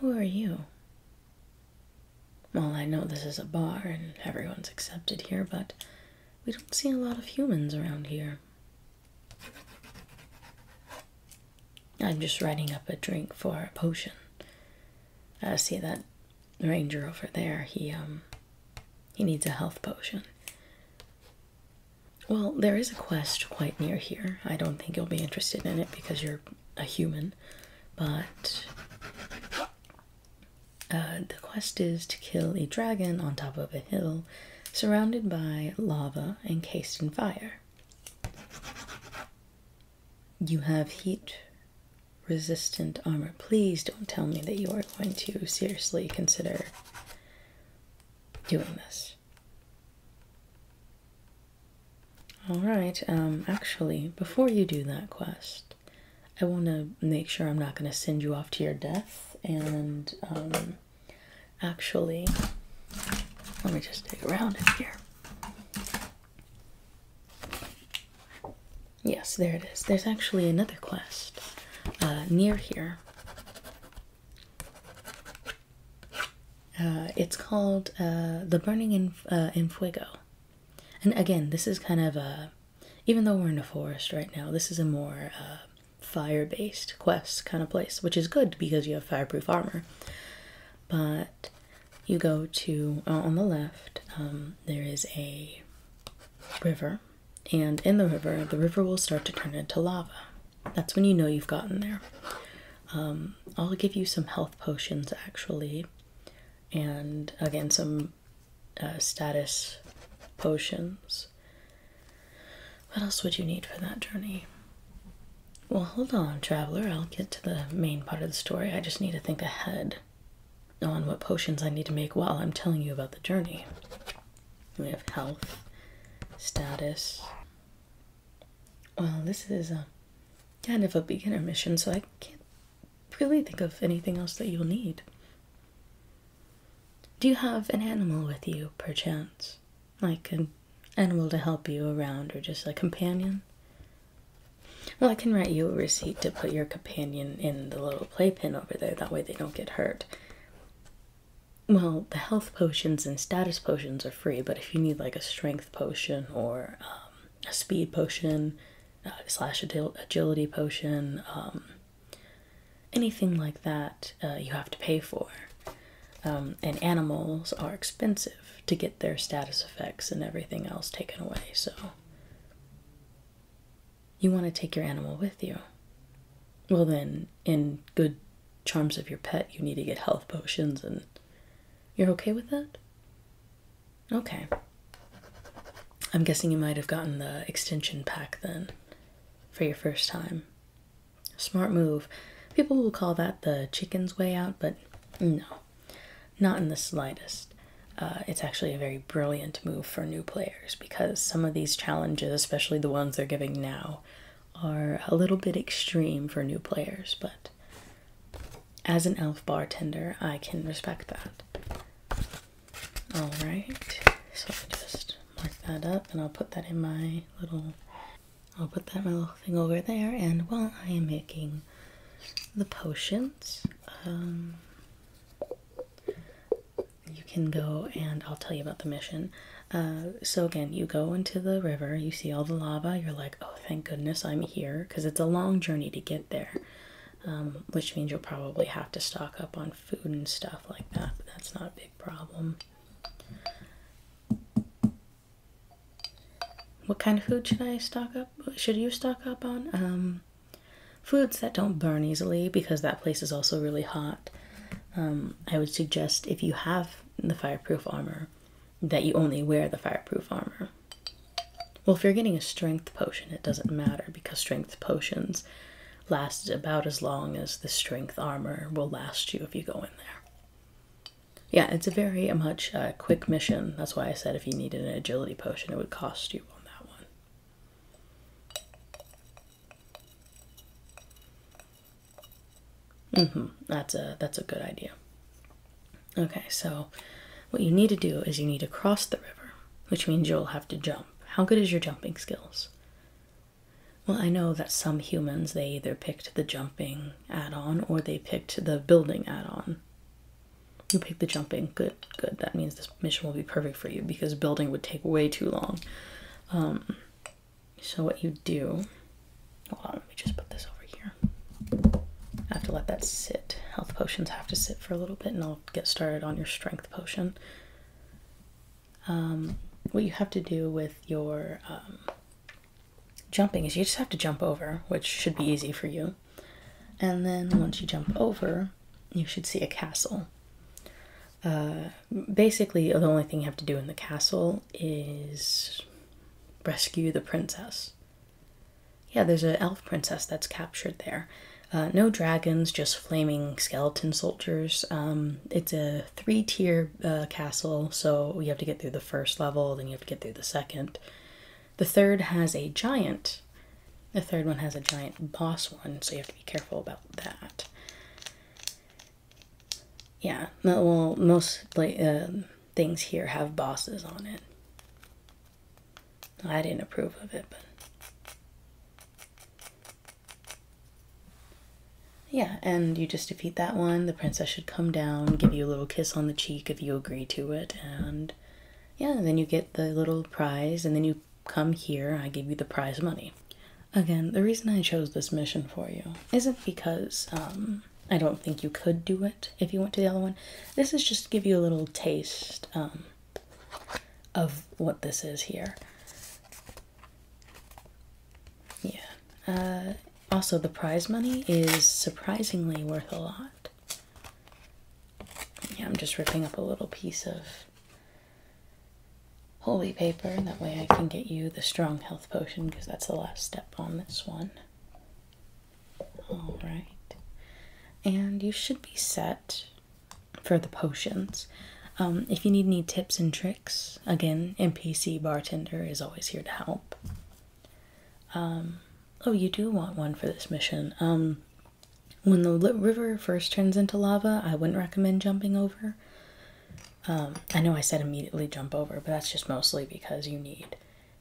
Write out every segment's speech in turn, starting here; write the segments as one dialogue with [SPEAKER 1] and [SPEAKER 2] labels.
[SPEAKER 1] Who are you? Well, I know this is a bar and everyone's accepted here, but we don't see a lot of humans around here. I'm just writing up a drink for a potion. I see that ranger over there, he um he needs a health potion. Well, there is a quest quite near here. I don't think you'll be interested in it because you're a human, but uh, the quest is to kill a dragon on top of a hill surrounded by lava encased in fire. You have heat resistant armor. Please don't tell me that you are going to seriously consider doing this. Alright, um, actually, before you do that quest, I want to make sure I'm not going to send you off to your death. And um, actually, let me just dig around in here. Yes, there it is. There's actually another quest uh, near here uh, it's called uh, The Burning in, uh, Fuego. And again, this is kind of a, even though we're in a forest right now, this is a more uh, fire based quest kind of place, which is good because you have fireproof armor. But you go to, on the left, um, there is a river and in the river, the river will start to turn into lava. That's when you know you've gotten there. Um, I'll give you some health potions actually, and again, some uh, status potions. What else would you need for that journey? Well, hold on, traveler. I'll get to the main part of the story. I just need to think ahead on what potions I need to make while I'm telling you about the journey. We have health, status. Well, this is a um, kind of a beginner mission, so I can't really think of anything else that you'll need. Do you have an animal with you, perchance? Like an animal to help you around, or just a companion? Well, I can write you a receipt to put your companion in the little playpen over there, that way they don't get hurt. Well, the health potions and status potions are free, but if you need like a strength potion or um, a speed potion, uh, slash agility potion, um, anything like that, uh, you have to pay for. Um, and animals are expensive to get their status effects and everything else taken away, so you want to take your animal with you. Well, then, in good charms of your pet, you need to get health potions, and you're okay with that? Okay. I'm guessing you might have gotten the extension pack then for your first time. Smart move. People will call that the chicken's way out, but no. Not in the slightest. Uh, it's actually a very brilliant move for new players because some of these challenges, especially the ones they're giving now, are a little bit extreme for new players, but as an elf bartender, I can respect that. Alright, so I'll just mark that up and I'll put that in my little, I'll put that my little thing over there. And while I am making the potions, um, you can go and I'll tell you about the mission. Uh, so, again, you go into the river, you see all the lava, you're like, oh, thank goodness I'm here, because it's a long journey to get there, um, which means you'll probably have to stock up on food and stuff like that, but that's not a big problem. What kind of food should I stock up? Should you stock up on? Um, Foods that don't burn easily because that place is also really hot. Um, I would suggest if you have the fireproof armor that you only wear the fireproof armor. Well, if you're getting a strength potion, it doesn't matter because strength potions last about as long as the strength armor will last you if you go in there. Yeah, it's a very much uh, quick mission. That's why I said if you needed an agility potion, it would cost you on that one. -hmm. That's a that's a good idea. Okay, so what you need to do is you need to cross the river, which means you'll have to jump. How good is your jumping skills? Well, I know that some humans they either picked the jumping add-on or they picked the building add-on. You picked the jumping. Good, good. That means this mission will be perfect for you because building would take way too long. Um, so what you do? Hold on, let me just put this over here. I have to let that sit. Health potions have to sit for a little bit, and I'll get started on your strength potion. Um, what you have to do with your um, jumping is you just have to jump over, which should be easy for you. And then once you jump over, you should see a castle. Uh, basically, the only thing you have to do in the castle is rescue the princess. Yeah, there's an elf princess that's captured there. Uh, no dragons, just flaming skeleton soldiers. Um, it's a three tier uh, castle, so you have to get through the first level, then you have to get through the second. The third has a giant. The third one has a giant boss one, so you have to be careful about that. Yeah, well, most uh, things here have bosses on it. I didn't approve of it, but. Yeah, and you just defeat that one. The princess should come down, give you a little kiss on the cheek if you agree to it, and yeah, then you get the little prize, and then you come here, I give you the prize money. Again, the reason I chose this mission for you isn't because um, I don't think you could do it if you went to the other one. This is just to give you a little taste um, of what this is here. Yeah. Uh, also, the prize money is surprisingly worth a lot. Yeah, I'm just ripping up a little piece of holy paper. That way I can get you the strong health potion because that's the last step on this one. Alright. And you should be set for the potions. Um, if you need any tips and tricks, again, NPC Bartender is always here to help. Um, oh, you do want one for this mission. Um, when the river first turns into lava, I wouldn't recommend jumping over. Um, I know I said immediately jump over, but that's just mostly because you need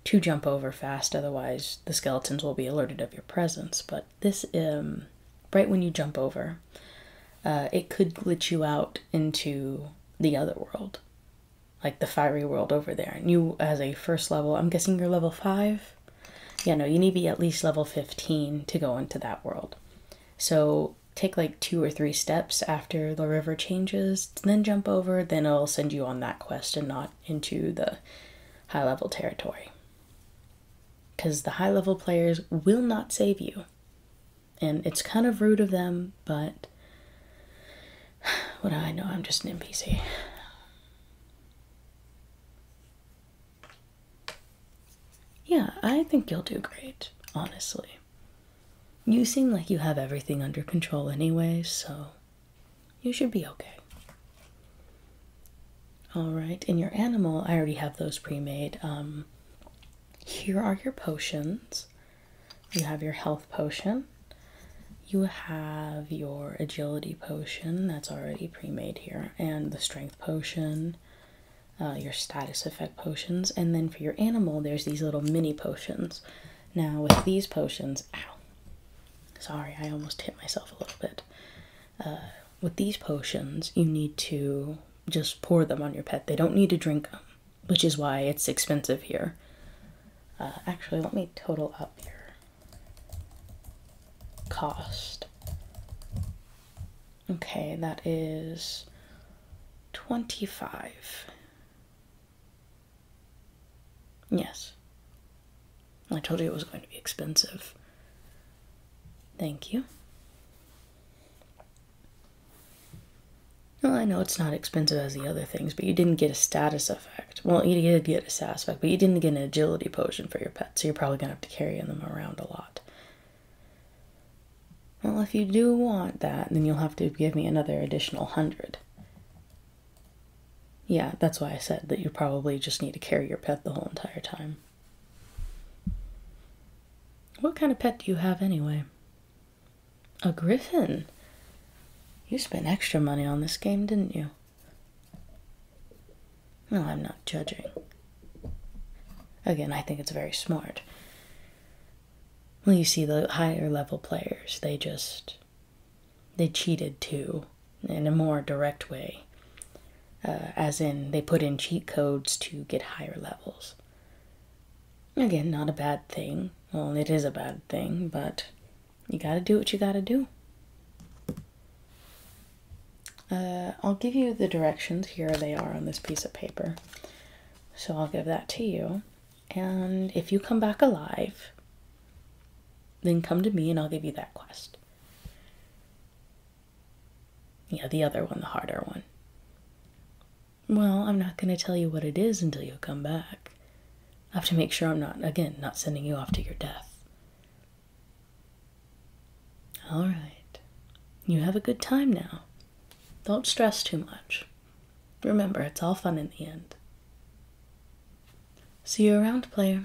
[SPEAKER 1] to jump over fast, otherwise the skeletons will be alerted of your presence. But this, right when you jump over, uh, it could glitch you out into the other world like the fiery world over there. And you, as a first level, I'm guessing you're level 5? Yeah, no, you need to be at least level 15 to go into that world. So take like two or three steps after the river changes, then jump over, then it'll send you on that quest and not into the high level territory. Because the high level players will not save you. And it's kind of rude of them, but what do I know? I'm just an NPC. Yeah, I think you'll do great, honestly. You seem like you have everything under control anyway, so you should be okay. Alright, in your animal, I already have those pre made. Um, here are your potions. You have your health potion. You have your agility potion that's already pre made here, and the strength potion, uh, your status effect potions, and then for your animal, there's these little mini potions. Now, with these potions, ow, sorry, I almost hit myself a little bit. Uh, with these potions, you need to just pour them on your pet, they don't need to drink them which is why it's expensive here. Uh, actually, let me total up your Cost. Okay, that is 25. Yes. I told you it was going to be expensive. Thank you. Well, I know it's not expensive as the other things, but you didn't get a status effect. Well, you did get a status effect, but you didn't get an agility potion for your pet, so you're probably going to have to carry them around a lot. Well, if you do want that, then you'll have to give me another additional hundred. Yeah, that's why I said that you probably just need to carry your pet the whole entire time. What kind of pet do you have anyway? A griffin? You spent extra money on this game, didn't you? No, I'm not judging. Again, I think it's very smart. Well, you see, the higher level players, they just. they cheated too, in a more direct way. Uh, as in they put in cheat codes to get higher levels. Again, not a bad thing. Well, it is a bad thing, but you gotta do what you gotta do. Uh, I'll give you the directions. Here they are on this piece of paper. So I'll give that to you. And if you come back alive, then come to me and I'll give you that quest. Yeah, the other one, the harder one. Well, I'm not going to tell you what it is until you come back. I have to make sure I'm not, again, not sending you off to your death. All right. You have a good time now. Don't stress too much. Remember, it's all fun in the end. See you around, player.